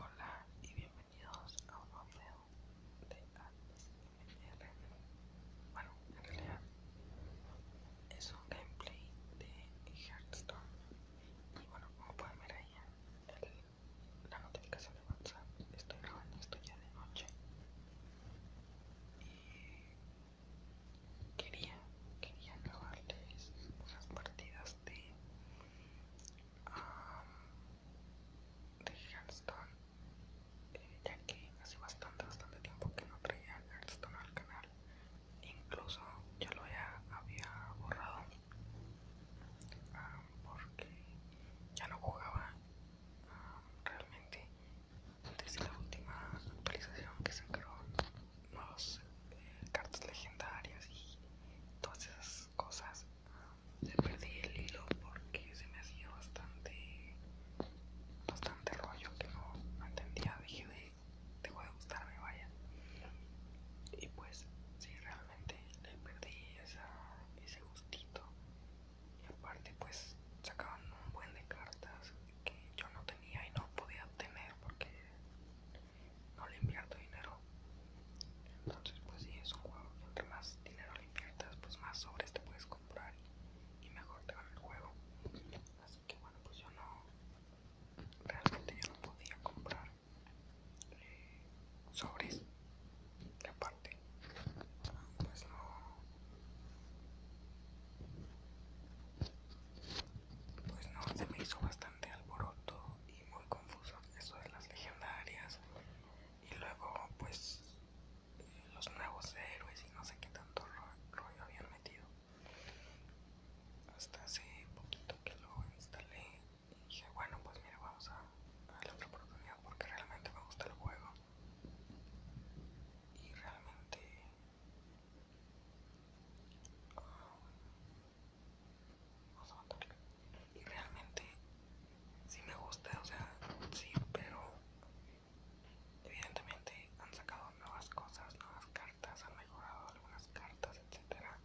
Hola y bienvenidos a un nuevo video de ASMR. Bueno, en realidad es un gameplay de Hearthstone. Y bueno, como pueden ver ahí la notificación de WhatsApp, estoy grabando esto ya de noche. Y quería, quería grabarles unas partidas este, de Hearthstone, eh, ya que hace bastante, bastante tiempo que no traía Hearthstone al canal, incluso ya lo había, borrado porque ya no jugaba realmente desde la última actualización que se Nuevas eh, cartas legendarias y todas esas cosas le perdí el hilo porque se me hacía bastante bastante rollo que no entendía Dejé de gustar gustarme vaya y pues sí realmente le perdí ese gustito y aparte pues sacaban un buen de cartas que yo no tenía y no podía tener porque no le invierto dinero. Entonces, pues si es un juego más dinero le inviertas, pues más sobres te puedes comprar y, mejor te va el juego. Así que bueno, pues yo no, realmente yo no podía comprar eh, sobres. aparte, pues no, pues no, se me hizo bastante alboroto muy confuso eso de las legendarias y luego pues eh, los nuevos héroes y no sé qué tanto rollo habían metido hasta hace poquito que lo instalé y dije bueno pues mira vamos a, la otra oportunidad porque realmente me gusta el juego y realmente um, y realmente Si me gusta, o sea, sí, pero evidentemente han sacado nuevas cosas, nuevas cartas, han mejorado algunas cartas, etcétera.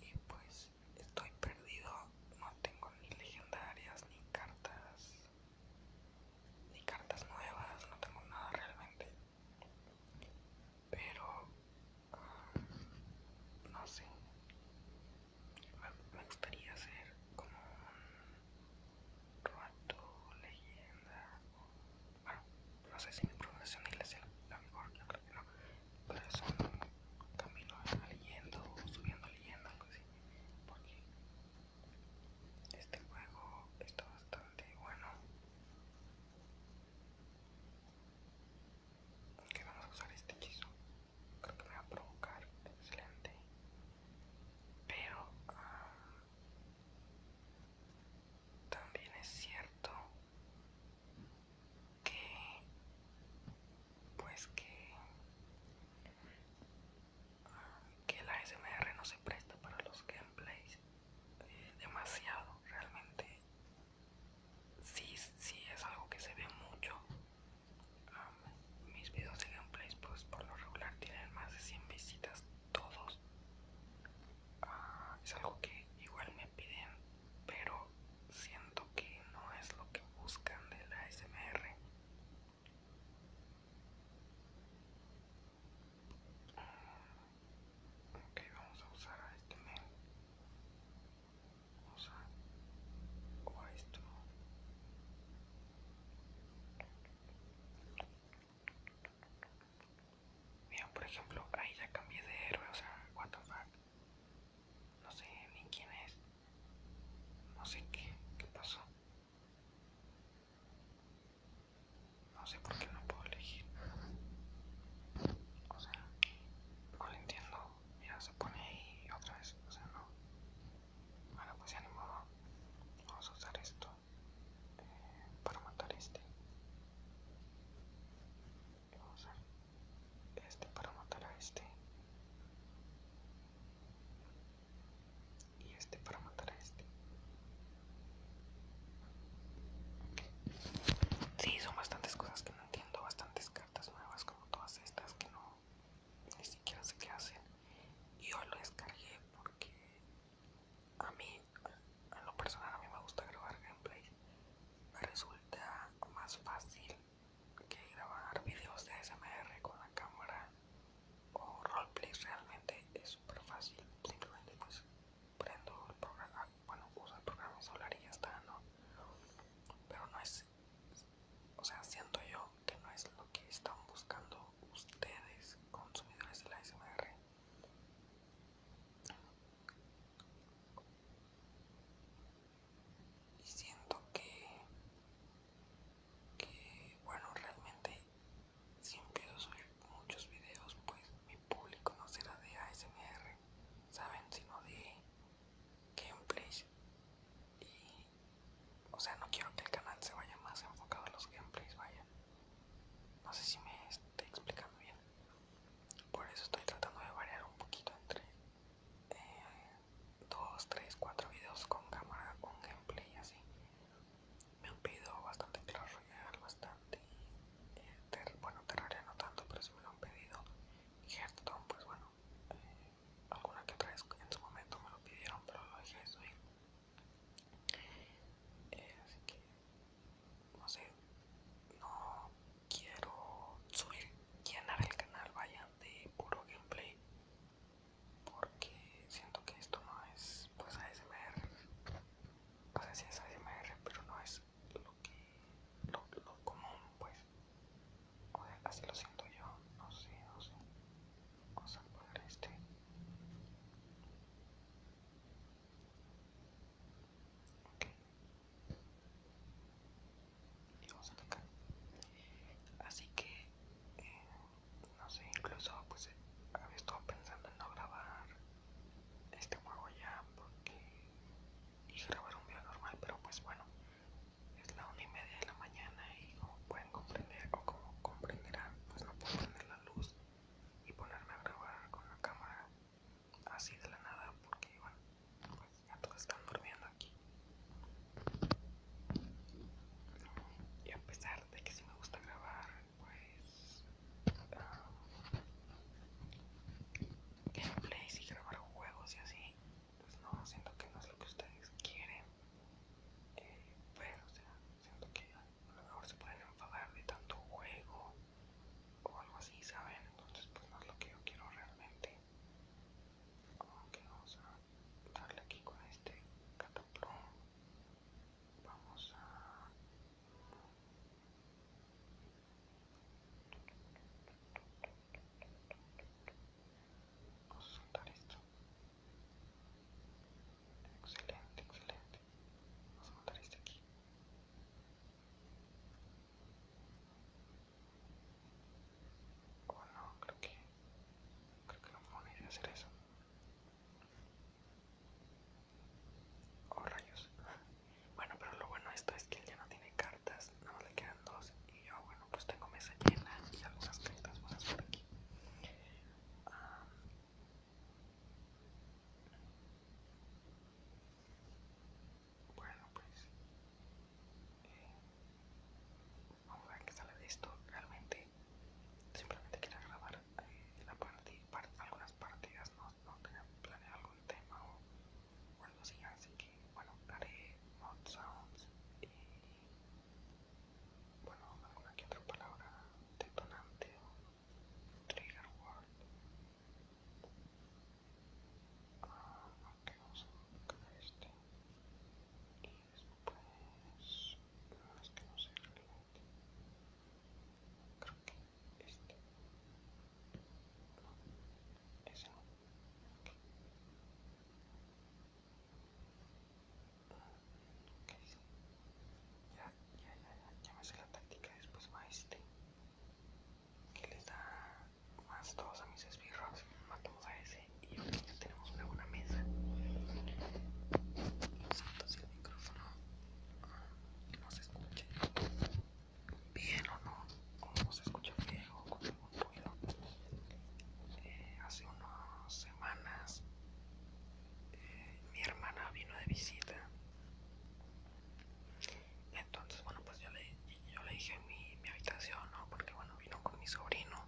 Y pues estoy perdido, no tengo ni legendarias, ni cartas, ni cartas nuevas, no tengo nada realmente pero ah, no sé me, gustaría hacer como un rato leyenda bueno no sé si mi profesión es la mejor yo creo que no pero es un camino leyendo subiendo leyenda algo así porque este juego está bastante bueno que vamos a usar este hechizo creo que me va a provocar excelente pero ah, también es cierto que pues que ah, que la SMR no se presta para los gameplays eh, demasiado realmente sí, sí es algo que se ve mucho. mis videos de gameplays pues por lo regular tienen más de 100 visitas todos. Ah, es algo que igual me piden, pero siento que no es lo que buscan de la SMR. Ok, vamos a usar a este mail o sea, o esto Miren, por ejemplo, ahí ya cambié de héroe, o sea, what the fuck. No sé ni quién es. No sé qué, qué pasó. No sé por qué no puedo elegir. O sea, no lo entiendo. Mira, se pone ahí otra vez. O sea, no. Bueno, pues ya ni modo. Vamos a usar esto eh, para matar este. vamos a usar este para matar a este. Y este para matar a este. Sí, son bastantes cosas que no entiendo bastantes cartas nuevas como todas estas que no ni siquiera sé qué hacen yo lo descargué porque a mí a lo personal a mí me gusta grabar gameplays me resulta más fácil que grabar videos de SMR con la cámara o roleplay realmente es super fácil simplemente pues prendo el programa bueno, uso el programa solar y ya está, ¿no? Pero no es, o sea, siento yo que no es lo que están buscando ustedes, consumidores de la ASMR. Y siento que, que bueno, realmente si empiezo a subir muchos videos, pues mi público no será de ASMR, ¿saben? Sino de gameplays y o sea no quiero que el canal se vaya más enfocado a los gameplays vaya no sé si me estoy explicando bien por eso estoy tratando de variar un poquito entre 2, eh, dos tres cuatro videos con cámara con gameplay así me han pedido bastante Clash Royale, bastante. Eh, bueno, Terraria no tanto, pero si me lo han pedido y ah, pues bueno eh, alguna que otra vez en su momento me lo pidieron pero lo dejé de subir eh, así que no sé no quiero subir llenar el canal vayan de puro gameplay porque siento que esto no es pues ASMR o sea si es ASMR pero no es lo que lo, común pues o sea, así lo siento yo no sé no sé vamos a poner este ok y vamos a tocar así que eh, no sé incluso pues había estado pensando en no grabar este juego ya porque y grabar un video normal, pero pues bueno, es la una y media de la mañana y como pueden comprender o como comprenderán, pues no puedo prender la luz y ponerme a grabar con la cámara así de la nada porque bueno, pues ya todos están durmiendo aquí. Y a pesar de que sí me gusta grabar, pues... Ah, gameplays y grabar juegos y así, pues no, siento que no es lo que ustedes quieren. Eh, pero, o sea, siento que a lo mejor se pueden enfadar de tanto juego o algo así, ¿saben? Entonces, pues no es lo que yo quiero realmente. Aunque vamos a darle aquí con este cataplón. Vamos a Vamos a soltar esto. Excelente, excelente. Vamos a montar este aquí. Oh no, creo que creo que no fue una hacer eso. Oh rayos. Bueno, pero lo bueno de esto es que él ya no tiene cartas, nada más le quedan dos. Y yo, bueno, pues tengo mesa llena y algunas cartas buenas por aquí. Ah, bueno, pues eh, vamos a ver qué sale de esto. Realmente, simplemente quiero grabar eh, algunas partidas, no, no tenía planeado algún tema o bueno así, que bueno, haré mod sounds y bueno, alguna que otra palabra detonante trigger word. Ah, ok, vamos a buscar este. Y después, es que no sé realmente. Creo que este. ese ya, ya, ya, ya, ya me hace la táctica, después va este. Que les da más dos a mis esbirros. Matamos a ese y ya tenemos una buena mesa. si el micrófono ah, no se escucha bien o no, como se escucha que o con algún ruido. Eh, hace unas semanas eh, mi hermana vino de visita. Entonces, bueno, pues yo le, yo le dije mi, mi habitación, ¿no? Porque, bueno, vino con mi sobrino,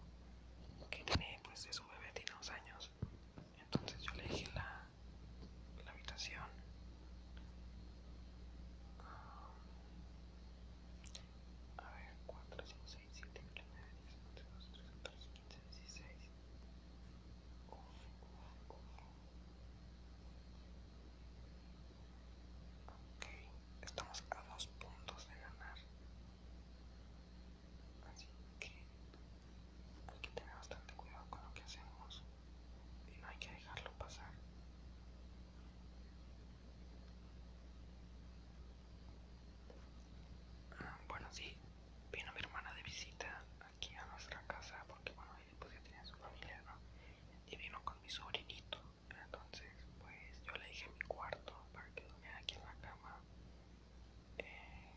que tiene, pues, es un bebé, tiene unos años. Entonces yo le dije la, la habitación. A ver, 4, 5, 6, 7, 8, 9, 10, 11, 12, 13, 14, 15, 16. Uf, uf, uf. Ok, estamos a dos puntos de ganar. Así que hay que tener bastante cuidado con lo que hacemos y no hay que dejarlo pasar. Bueno, sí, vino mi hermana de visita aquí a nuestra casa porque, bueno, pues ya tenía su familia, ¿no? Y vino con mi sobrinito. Entonces, pues yo le dije mi cuarto para que dormiera aquí en la cama. Eh,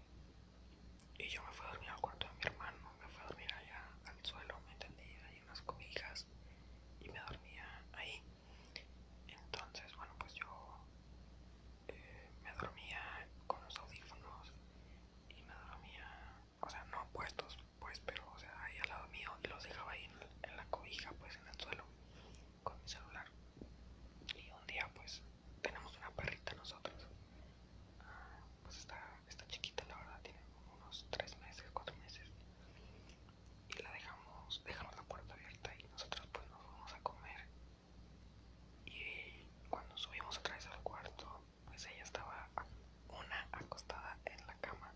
y yo me fui a dormir al cuarto de mi hermano, me fui a dormir allá al suelo, ¿me entendí? en unas cobijas y me dormía ahí. Entonces, bueno, pues yo eh, me dormía con los audífonos y me dormía, o sea, no puestos, pues, pero, o sea, ahí al lado mío y los dejaba ahí en, la cobija, pues, en el suelo, con mi celular. Y un día, pues, tenemos una perrita nosotros. Ah, pues está, está chiquita, la verdad, tiene unos 3 meses, 4 meses y la dejamos, dejamos la puerta abierta y nosotros pues nos fuimos a comer y cuando subimos otra vez al cuarto pues ella estaba una acostada en la cama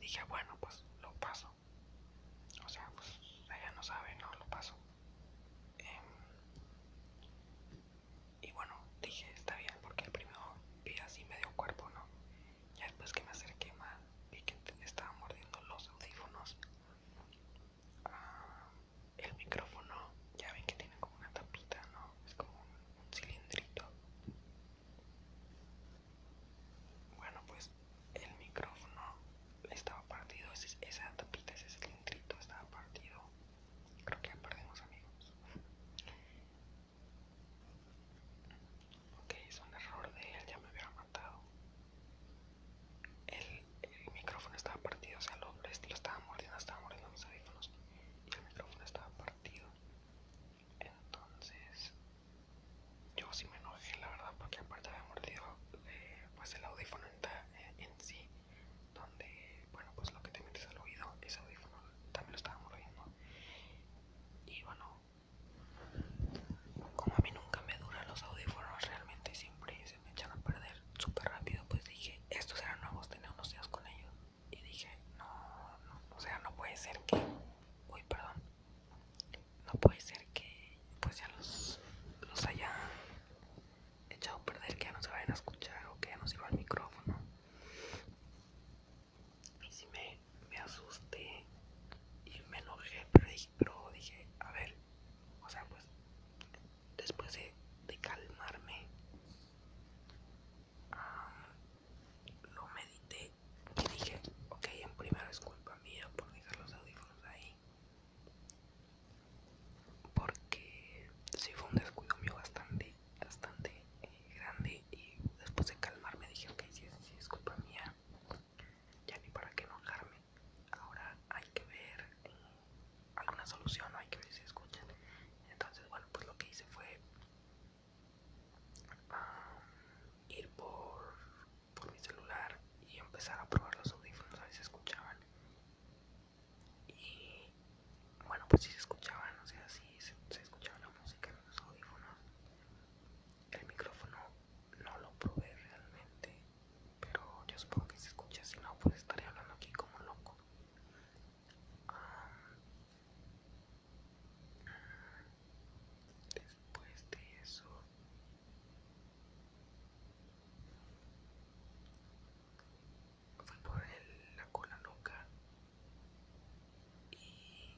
dije bueno pues lo paso o sea pues ella no sabe no lo paso em, y bueno dije está bien porque el primero vi así medio cuerpo no ya después que me acerqué más, vi que estaba mordiendo los audífonos. Ah, el micrófono, ya ven que tiene como una tapita, ¿no? Es como un, cilindrito. Bueno, pues el micrófono estaba partido, esa tapita, ese cilindrito estaba partido. Creo que ya perdimos amigos. Ok, es un error de él, ya me hubiera matado. El, micrófono estaba partido, o sea, lo, lo estaba mordiendo, estaba mordiendo mis audífonos y el micrófono estaba partido. Entonces, yo sí me enojé, la verdad, porque aparte había mordido eh, pues el audífono en, eh, en sí, donde, bueno, pues lo que te metes al oído, ese audífono también lo estaba mordiendo. Y bueno, como a mí nunca me duran los audífonos realmente siempre se me echan a perder súper rápido, pues dije, estos eran nuevos, tenía unos días con ellos. Y dije, no, o sea, no puede ser que... Uy, perdón. No puede ser que pues ya los, los haya echado a perder, que ya no se vayan a escuchar o que ya no sirva el micrófono y si me, asusté y me enojé, pero dije, a ver, o sea, pues después de, calmarme, lo medité y dije, ok, en primera es culpa mía por dejar los audífonos ahí, porque sí fue un descuido mío bastante, bastante eh, grande y después de calmarme dije, ok, si es, culpa mía, ya ni para qué enojarme. Ahora hay que ver mm, alguna solución, hay que ver si escuchan. Entonces, bueno, pues lo que hice fue ir por, por mi celular y empezar a probar los audífonos, a ver si escuchaban. Y bueno, pues si se escuchaban, o sea, si se escuchaba la música en los audífonos. El micrófono no lo probé realmente, pero yo supongo que se escucha, si no, pues estaría hablando aquí como loco. después de eso... por la cola loca y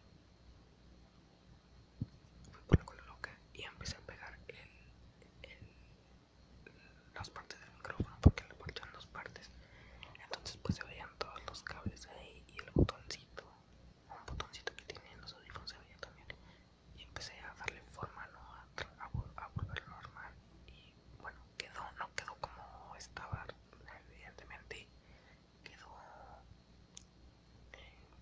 fui por la cola loca y empecé a pegar las partes del micrófono porque le en dos partes entonces pues se veían todos los cables ahí y el botoncito un botoncito que tiene los audífonos se veía también y empecé a darle forma a, a volverlo normal y bueno quedó no quedó como estaba evidentemente quedó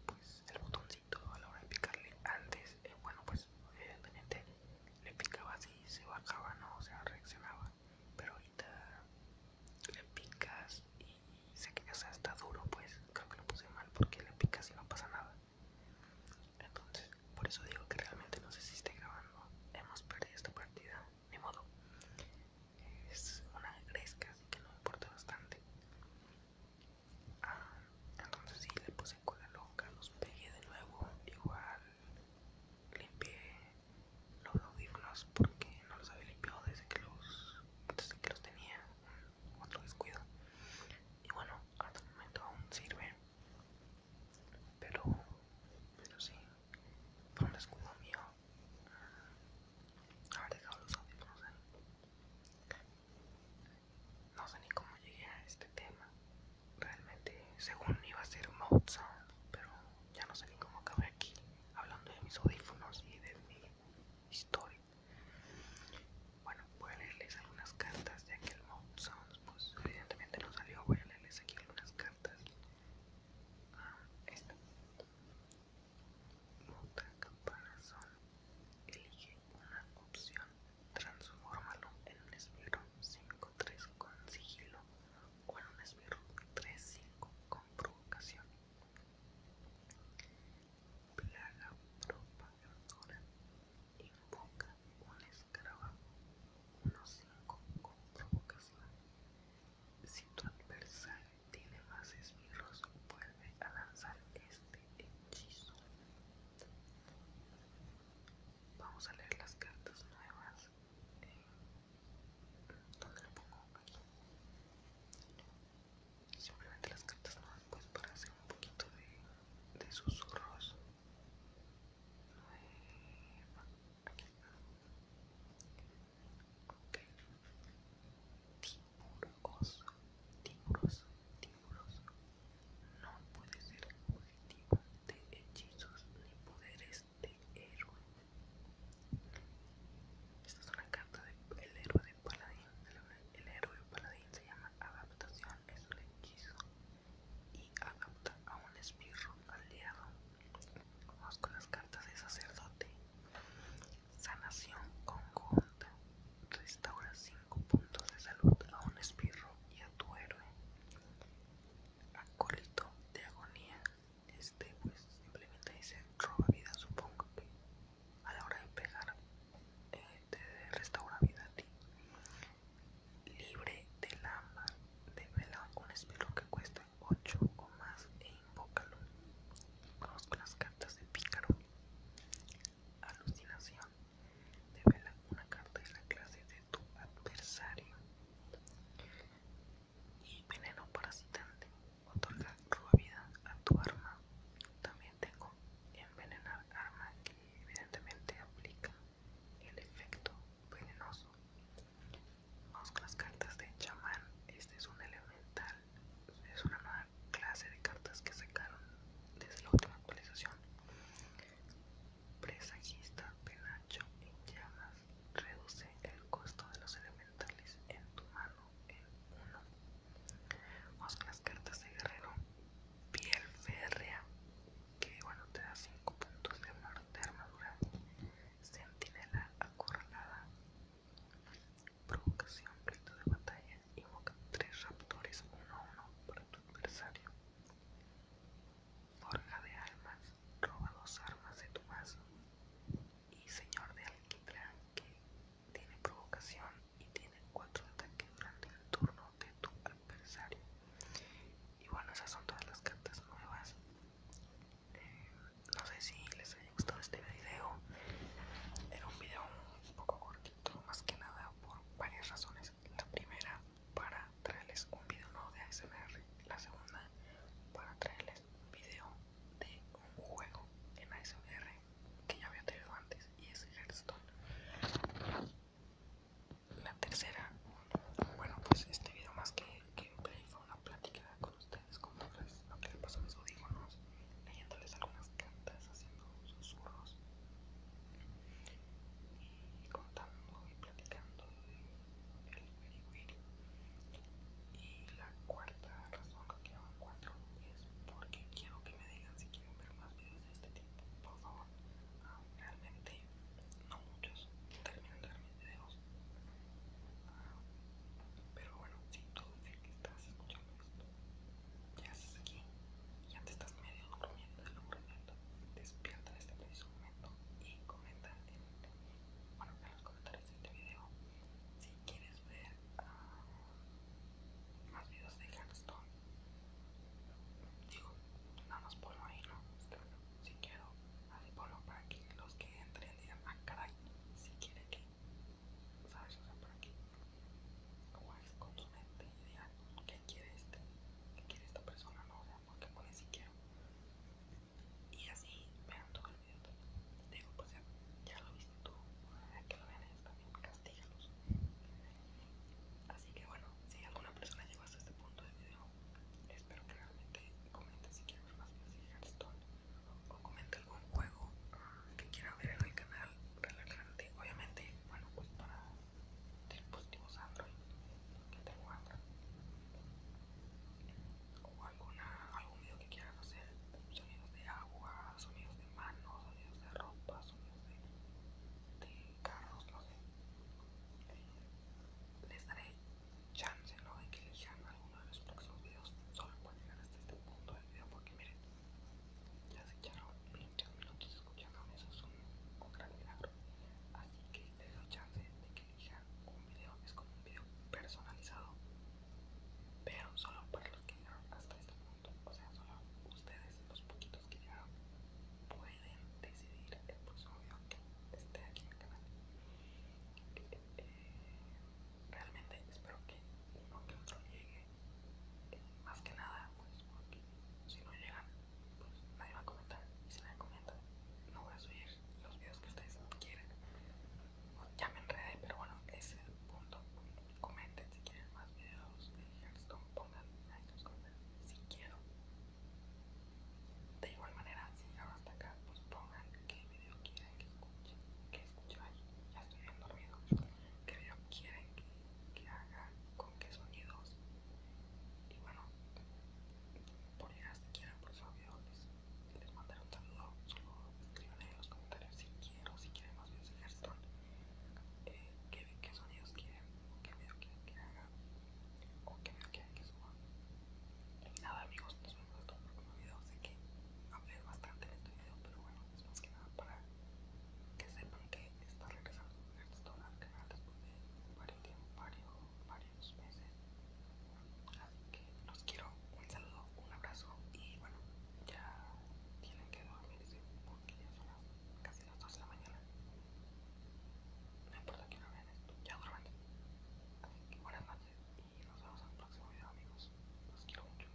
pues, el botoncito a la hora de picarle antes eh, bueno pues evidentemente le picaba así se bajaba no o sea reaccionaba pero ahorita le picas y se queda hasta está duro pues creo que lo puse mal porque le picas y no pasa nada entonces por eso digo que realmente no sé si esté grabando hemos perdido esta partida ni modo es una gresca, así que no importa bastante. Ah, entonces sí, le puse cola loca, los pegué de nuevo, igual limpié los audífonos porque no los había limpiado desde que los, desde que los tenía, otro descuido. Y bueno, hasta el momento aún sirve, pero, pero sí, fue un descuido mío Haber dejado los audífonos ahí. Eh. No sé ni cómo llegué a este tema. Realmente, según iba a ser Mode Sound, pero ya no sé ni cómo acabé aquí hablando de mis audífonos y de mi historia. Bueno, voy a leerles algunas cartas, de que el Mode Sound, pues evidentemente no salió. Voy a leerles aquí algunas cartas. Ah, esta. Otra caparazón. Elige una opción. Transfórmalo en un esbirro 5-3 con sigilo o en un esbirro 3-5 con provocación. Plaga propagadora. Invoca un escarabajo 1-5 con provocación. Si tu adversario tiene más esbirros, vuelve a lanzar este hechizo. Vamos a leer las cartas nuevas. Eh, ¿Dónde lo pongo? Aquí. Simplemente las cartas nuevas, pues para hacer un poquito de, susurros. Nueva. Aquí. Ok. Tiburoso, tiburos, tiburos. No puede ser objetivo de hechizos ni poderes de héroe. Esta es una carta del héroe de paladín. El, héroe paladín se llama adaptación, es un hechizo y adapta a un espirro aliado. Conozco las cartas de sacerdote. Sanación conjunta. Restaura 5 puntos de salud a un espirro y a tu héroe. Acólito de agonía. Este pues simplemente dice roba vida, supongo que a la hora de pegar eh, restaura vida a ti. Libre de del de Devela un espirro que cuesta 8 o más e invócalo. Vamos con las cartas de pícaro. Alucinación. Devela una carta de la clase de tu adversario. Y veneno parasitante. Otorga vida a tu arma. También tengo envenenar arma que evidentemente aplica el efecto venenoso. Vamos con las cartas de chamán. Este es un elemental es una nueva clase de cartas que sacaron desde la última actualización. Presagista, penacho y llamas. Reduce el costo de los elementales en tu mano en 1. Vamos las cartas de guerrero. Piel férrea, que bueno te da 5 puntos de armadura. Sentinela acorralada provocación, grito de batalla, invoca tres raptores uno a uno para tu adversario. Forja de almas, roba dos armas de tu mazo. Y señor de alquitrán que tiene provocación y tiene cuatro ataques durante el turno de tu adversario. Y bueno, esas son todas las cartas nuevas. Eh, no sé si les les gustó gustado este video. Era un video un poco cortito, más que nada por varias razones. La primera, para traerles un video nuevo de ASMR. La segunda, para traerles un video de un juego en ASMR que ya había tenido antes y es Hearthstone. La tercera, bueno, pues este video más que gameplay fue una plática con ustedes, como las. Lo que le paso mis audífonos, leyéndoles algunas cantas haciendo susurros y contando y platicando del wiri Y la cuarta razón que quiero cuatro es porque quiero que me digan si quieren ver más videos de este tipo, por favor. Ah, realmente no muchos terminan de ver mis videos. Ah, pero bueno, si tú el que estás escuchando esto ya estás aquí? Ya te estás medio durmiendo, Despierta este preciso momento y comenta en, bueno, los comentarios de este video si quieres ver ah, más videos de Gaston. Digo, nada más ponlo ahí, ¿no? Si quiero, así ponlo para que los que entren digan, a ah, caray, si quieren que ¿sabes? O sea, por aquí. ¿Cuál es con su mente ideal? ¿Qué quiere este? ¿Qué quiere esta persona? No, o sea, qué puede si quiero. Y así vean todo el video también. Digo, pues ya, lo viste tú. Que lo vean ellos también, castígalos. Así que bueno, si alguna persona llegó hasta este punto del video, espero que realmente comente si quiere ver más videos de esto o comenten algún juego que quiera ver en el canal realmente, obviamente bueno pues para dispositivos android que tengo android o algún video que quieran hacer sonidos de agua sonidos de manos sonidos de ropa sonidos de, carros lo sé eh, les daré chance no de que elijan alguno de los próximos videos solo por llegar hasta este punto del video porque miren ya se echaron 20 minutos escuchándome, eso es un, gran milagro. Así que les doy chance de que elija un video, es como un video personalizado, pero solo para los que llegaron hasta este punto. O sea, solo ustedes, los poquitos que llegaron, pueden decidir el próximo video que esté aquí en el canal. Eh, realmente espero que uno que otro llegue más que nada, pues porque si no llegan, pues nadie va a comentar. Y si nadie comenta, no voy a subir los videos que ustedes quieren. Ya me enredé, pero bueno, ese es el punto. Comenten si quieren más videos de pongan ahí los comentarios si quiero. De igual manera, si llegaron hasta acá, pues pongan qué video quieren que escuche, que escuche ahí. Ya estoy bien dormido. ¿Qué video quieren que que haga, con qué sonidos. Y bueno, por ideas si quieren por eso videos les, les un saludo. Solo escriban en los comentarios si quieren si quieren más videos de Hearthstone, eh, Que qué, sonidos quieren, o qué video quieren que haga, o qué video quieren que suba. nada, amigos, nos vemos en otro próximo video. Sé que hablé bastante en este video, pero bueno, es más que nada para que sepan que está regresando Hearthstone canal después de varios, meses. Así que los quiero, un saludo, un abrazo y bueno, ya tienen que dormirse porque ya son casi las 2 de la mañana. No importa que no vean esto, ya duerman. Así que buenas noches y nos vemos en el próximo video amigos. Los quiero mucho.